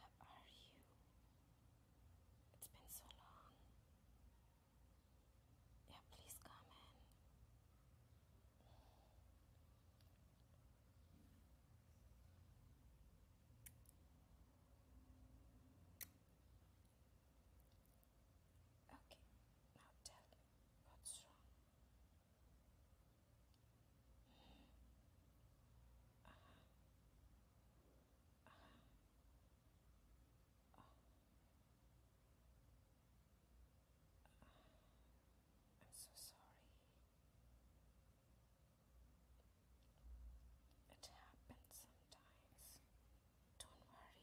Hey, how are you? It's been so long. Yeah, please come in. Okay, now tell me what's wrong. I'm so sorry. It happens sometimes. Don't worry.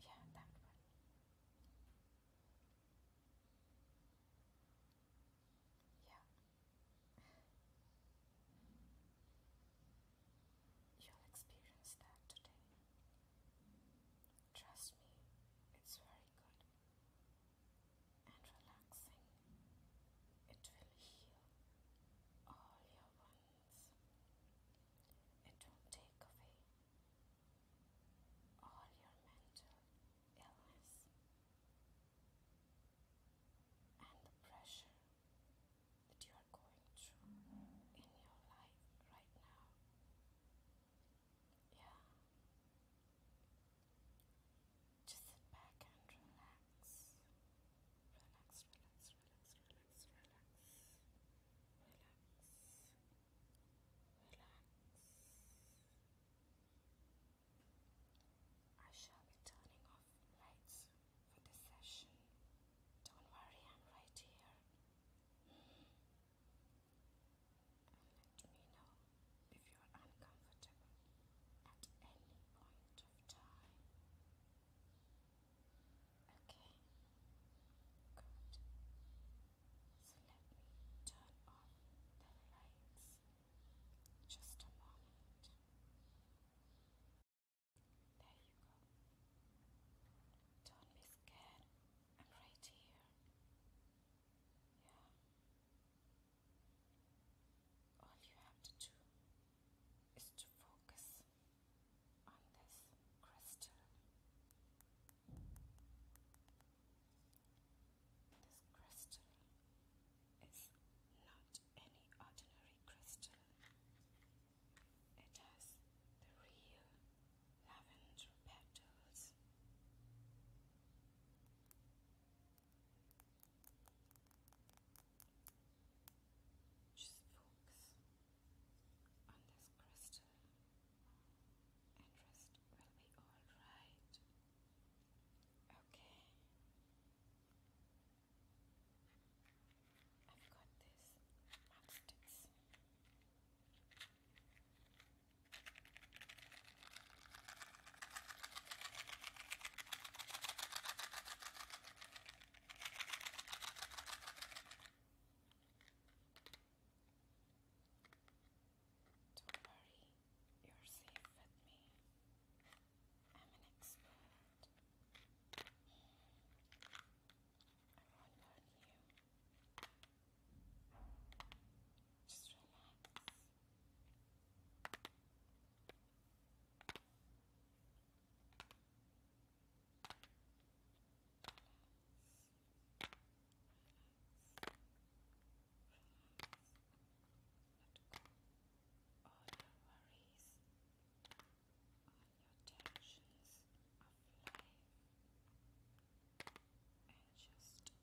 Yeah, that one. Yeah. You'll experience that today. Trust me, it's very good and relaxing. It will heal all your wounds minutes. It don't take away all your mental illness and the pressure that you are going through in your life right now. Yeah. Just sit back and relax relax, relax, relax, relax, relax, relax, relax. I shall be turning off lights for this session. Don't worry, I'm right here. Hmm. And let me know if you're uncomfortable at any point of time. Okay, good. So let me turn on the lights just a moment. There you go. Don't be scared. I'm right here. Yeah. All you have to do is to focus on this crystal. This crystal is not any ordinary crystal. It has the real lavender petals. Just focus on this crystal, and rest will be all right. Okay, I've got this matchsticks. Don't worry, you're safe with me. I'm an expert. I won't burn you. Just relax all your worries, all your tensions of life, and just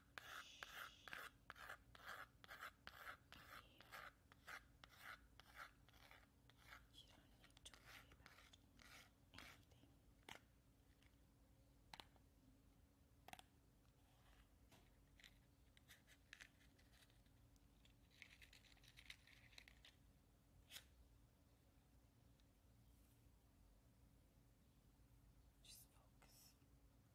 You don't need to worry anything. Just focus.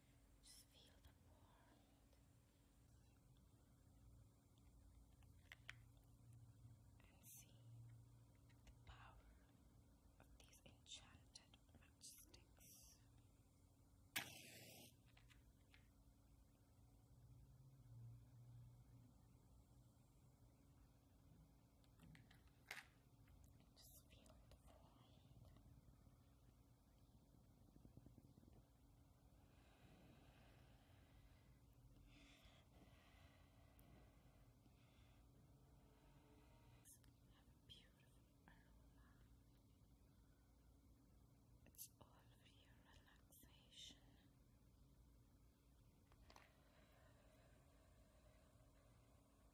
Just feel the warmth. And see the power of these enchanted matchsticks. Just feeling the forehead. Have a beautiful aroma. It's all for your relaxation.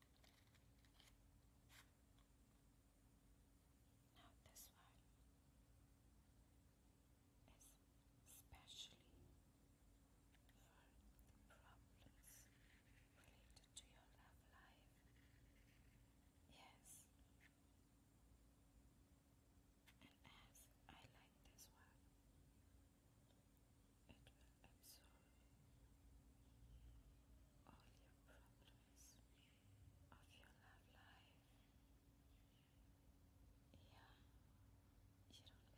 Now this one is especially for the problems related to your love life. Yes. And as I like this one, it will absorb all your problems of your love life. Yeah, you don't believe me, right? But you will see when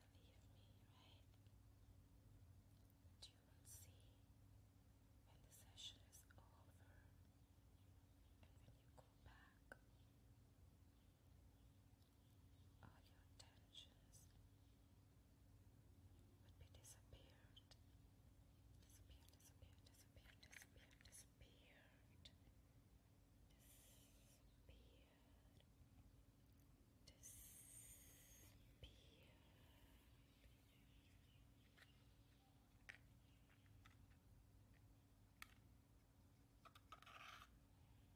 the session is over and when you go back all your tensions would be disappeared. Disappear, disappear, disappear, disappear, disappeared. Disappeared. Disappeared.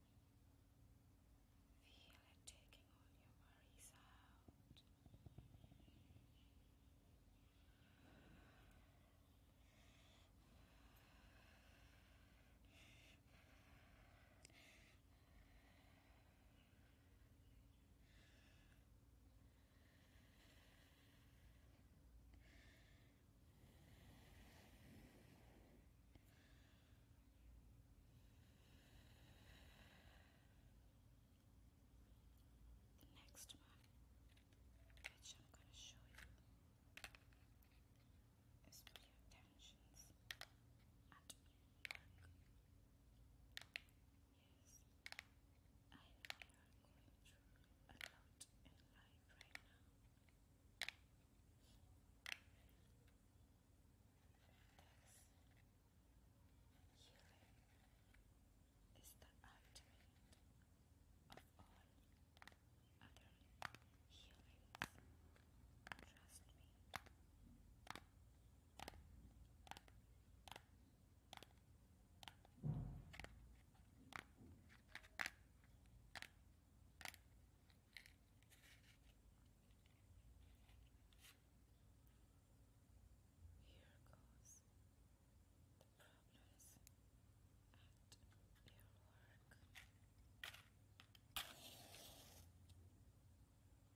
Feel it taking all your worries out. The next one, which I'm going to show you, is Blue Tensions at Yes, I know you are going through a lot in life right now. Healing is the ultimate of all other healings. Trust me. Here goes the problems at your work.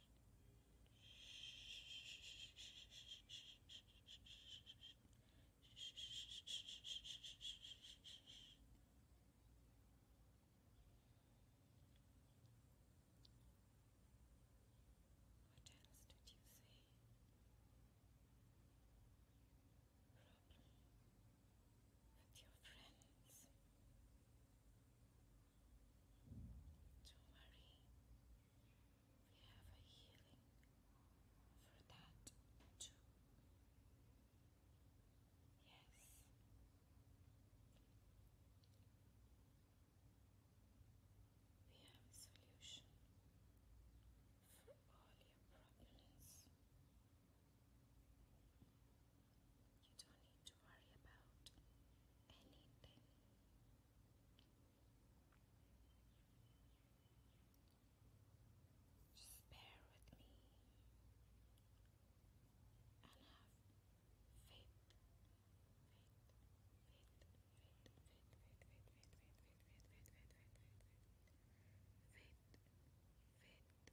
What else did you say? Problem with your friends. Don't worry, we have a healing for that Yes. We have a solution for all your problems. You don't need to worry about anything. Just bear with me and have faith. Faith, faith, faith, faith, faith, faith, faith, faith, faith, faith, faith, faith, faith, Faith.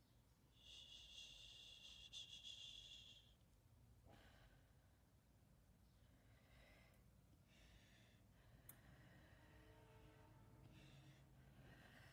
When you go out,